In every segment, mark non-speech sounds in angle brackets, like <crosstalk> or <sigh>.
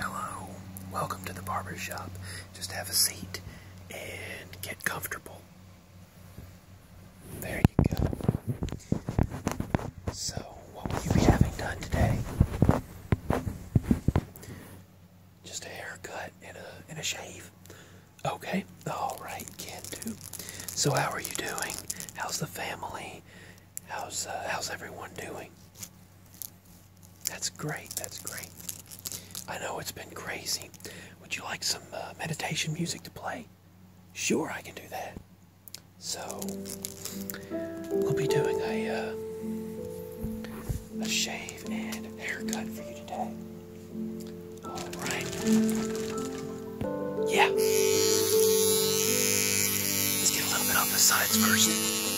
Hello, welcome to the barber shop. Just have a seat and get comfortable. There you go. So, what will you be having done today? Just a haircut and a and a shave. Okay, all right, kid. So, how are you doing? How's the family? How's uh, how's everyone doing? That's great. That's great. I know it's been crazy. Would you like some uh, meditation music to play? Sure, I can do that. So we'll be doing a uh, a shave and haircut for you today. All right. Yeah. Let's get a little bit off the sides first.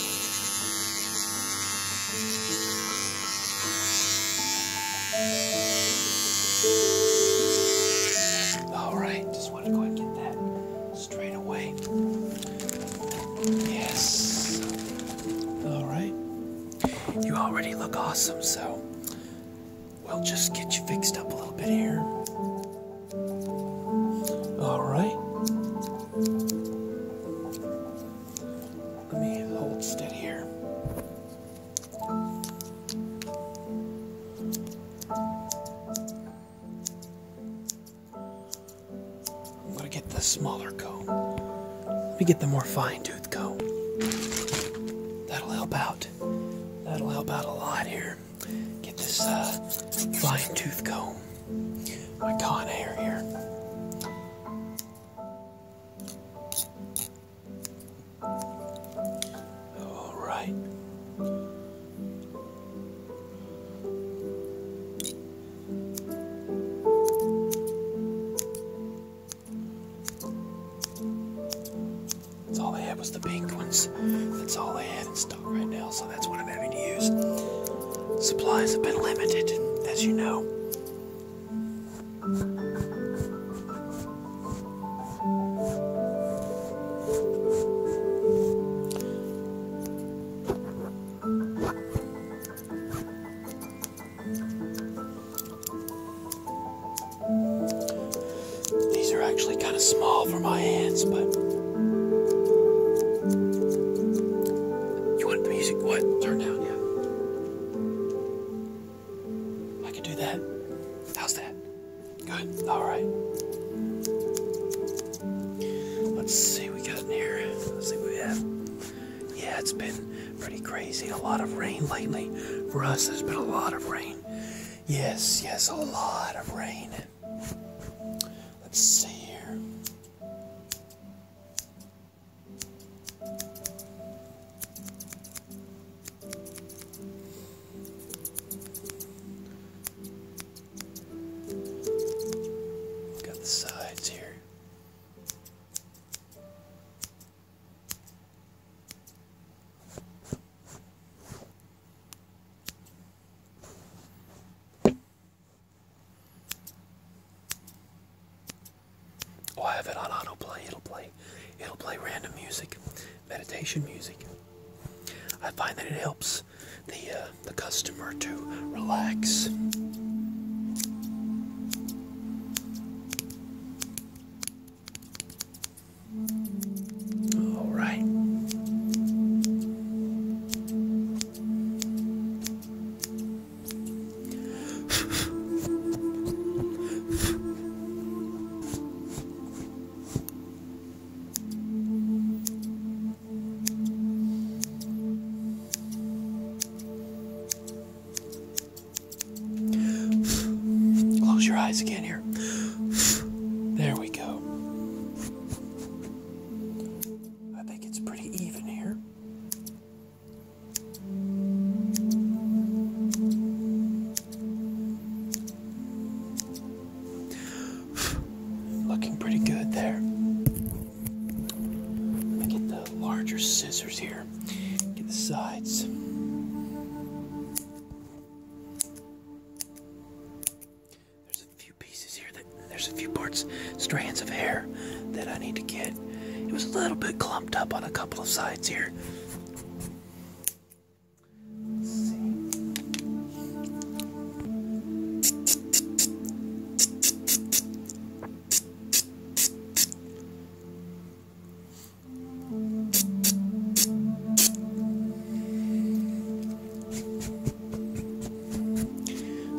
All right, just want to go and get that straight away. Yes. All right. You already look awesome, so we'll just get you fixed up a little bit here. All right. Let me hold steady here. I'm going to get the smaller comb. Let me get the more fine tooth comb. That'll help out. That'll help out a lot here get this uh, fine tooth comb, I con hair here. All right. That's all I had was the pink ones. That's all I had. Instead right now, so that's what I'm having to use. Supplies have been limited, as you know. These are actually kind of small for my hands, but you want the music, what? Turn down, yeah. I can do that. How's that? Good, all right. Let's see what we got in here. Let's see what we have. Yeah, it's been pretty crazy. A lot of rain lately. For us, there's been a lot of rain. Yes, yes, a lot of rain. Let's see here. Got the sides here. Oh, I have it on autoplay. It'll play. It'll play random music, meditation music. I find that it helps the uh, the customer to relax. All right. Close your eyes again here. There we go. I think it's pretty even here. <sighs> Looking pretty good there. Let me get the larger scissors here, get the sides. There's a few pieces here that there's a few parts, strands of hair that I need to get. It was a little bit clumped up on a couple of sides here.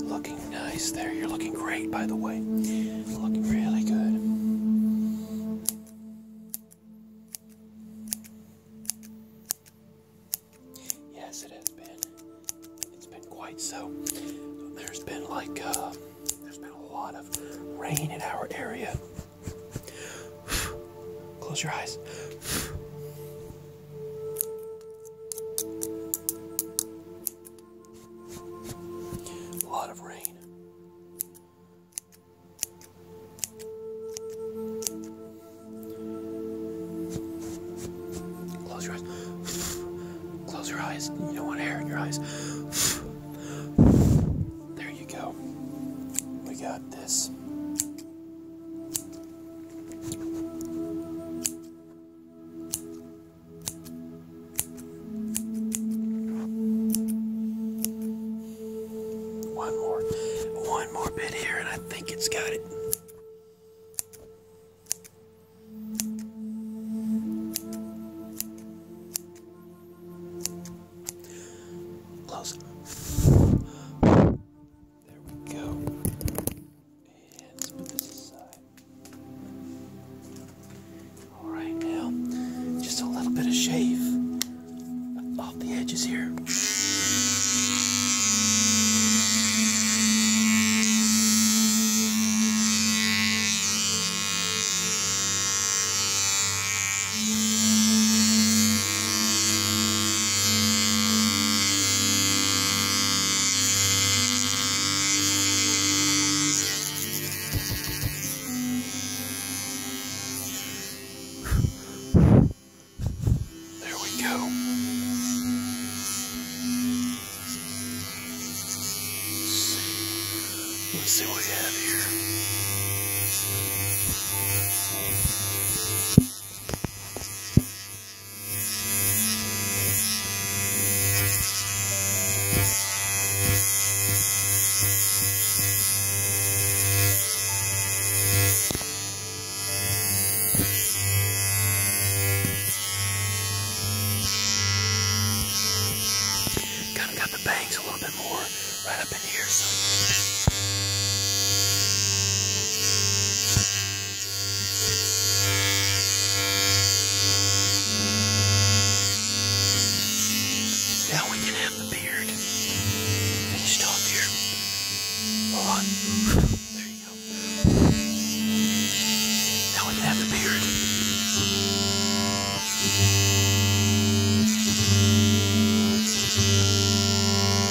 Looking nice there. You're looking great, by the way. Looking really good. Yes, it has been. It's been quite so. There's been like, uh, there's been a lot of rain in our area. <sighs> Close your eyes. A lot of rain. Close your eyes. Close your eyes. You don't want hair in your eyes. There you go. We got this. One more, one more bit here, and I think it's got it. Close. There we go. All right, now just a little bit of shave off the edges here. Let's see what we have here. Kind of got the bangs a little bit more right up in here, so. Now we can have the beard. Finished off here. Hold on. There you go. Now we can have the beard.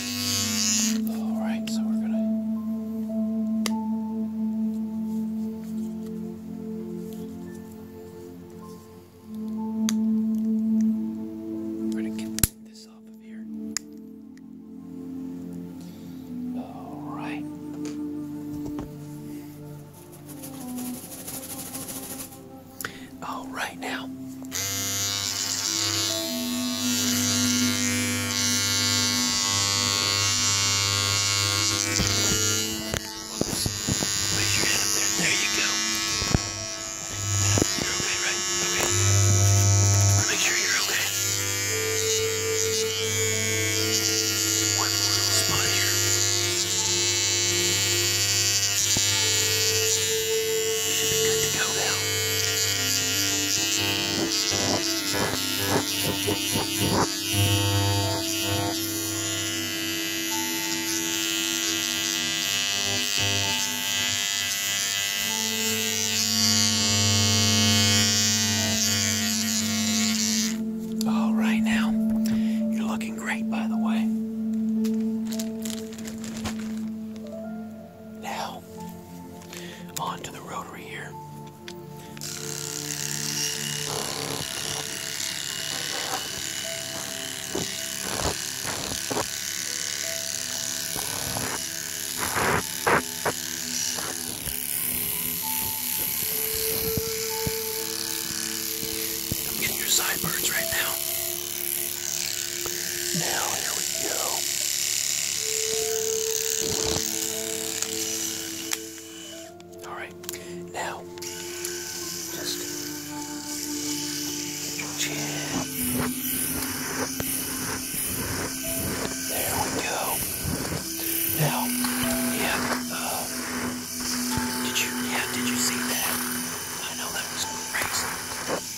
All right, so we're gonna we're gonna get this off of here. All right. All right now. Raise your head up there. There you go. You're okay, right? Okay. make sure you're okay. One little spot here. All right now. You're looking great, by the way. Now, on to the rotary here. I'm getting your sideburns right now. Now, here we go. Alright, now, just chin. There we go. Now, yeah, uh, did you, yeah, did you see that? I know that was crazy.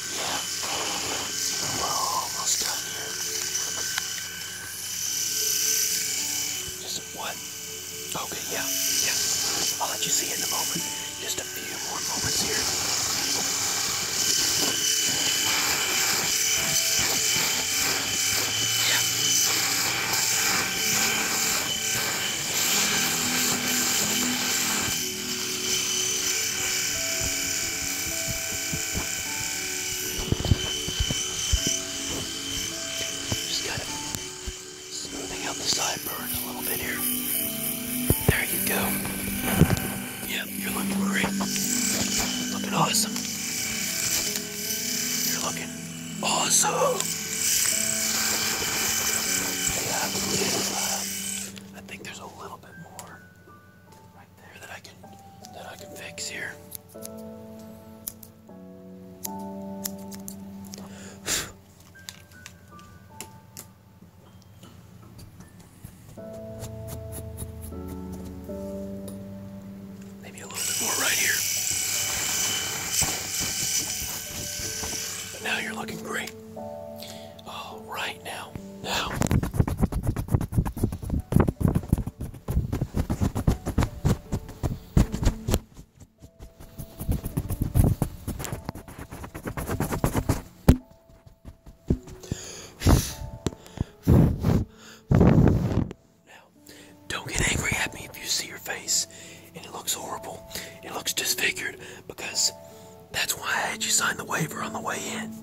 We're almost done here. Just what? Okay, yeah, yeah. I'll let you see in a moment. Just a few more moments here. Yeah. Just kind of smoothing out the sideburns a little bit here. There you go. Yep, you're looking great. Looking awesome. You're looking awesome. I think there's a little that I can fix here. <sighs> Maybe a little bit more right here. But now you're looking great. All oh, right, now, now. Now, don't get angry at me if you see your face and it looks horrible. It looks disfigured because that's why I had you sign the waiver on the way in.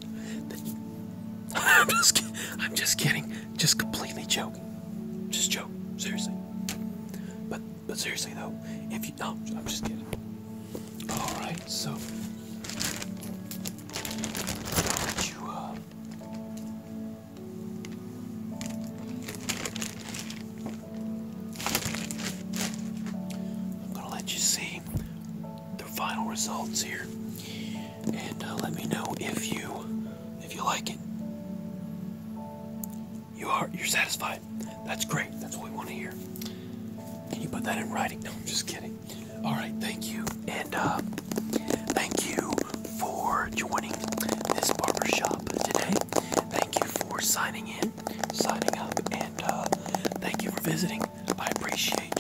<laughs> I'm just kidding. I'm just kidding. Just completely joking. Just joke. Seriously. But but seriously though, if you no, I'm just kidding. Alright, so uh. I'm gonna let you see the final results here, and uh, let me know if you if you like it. You are you're satisfied. That's great. That's what we want to hear. Can you put that in writing? No, I'm just kidding. All right, thank you, and uh, thank you for joining this barbershop today. Thank you for signing in signing up, and uh, thank you for visiting. I appreciate,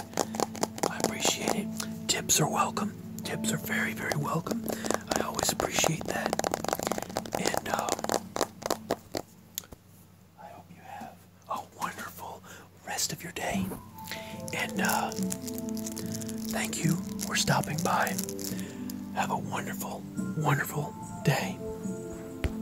I appreciate it. Tips are welcome. Tips are very, very welcome. I always appreciate that, and um, I hope you have a wonderful rest of your day. And uh, thank you for stopping by. Have a wonderful, wonderful day.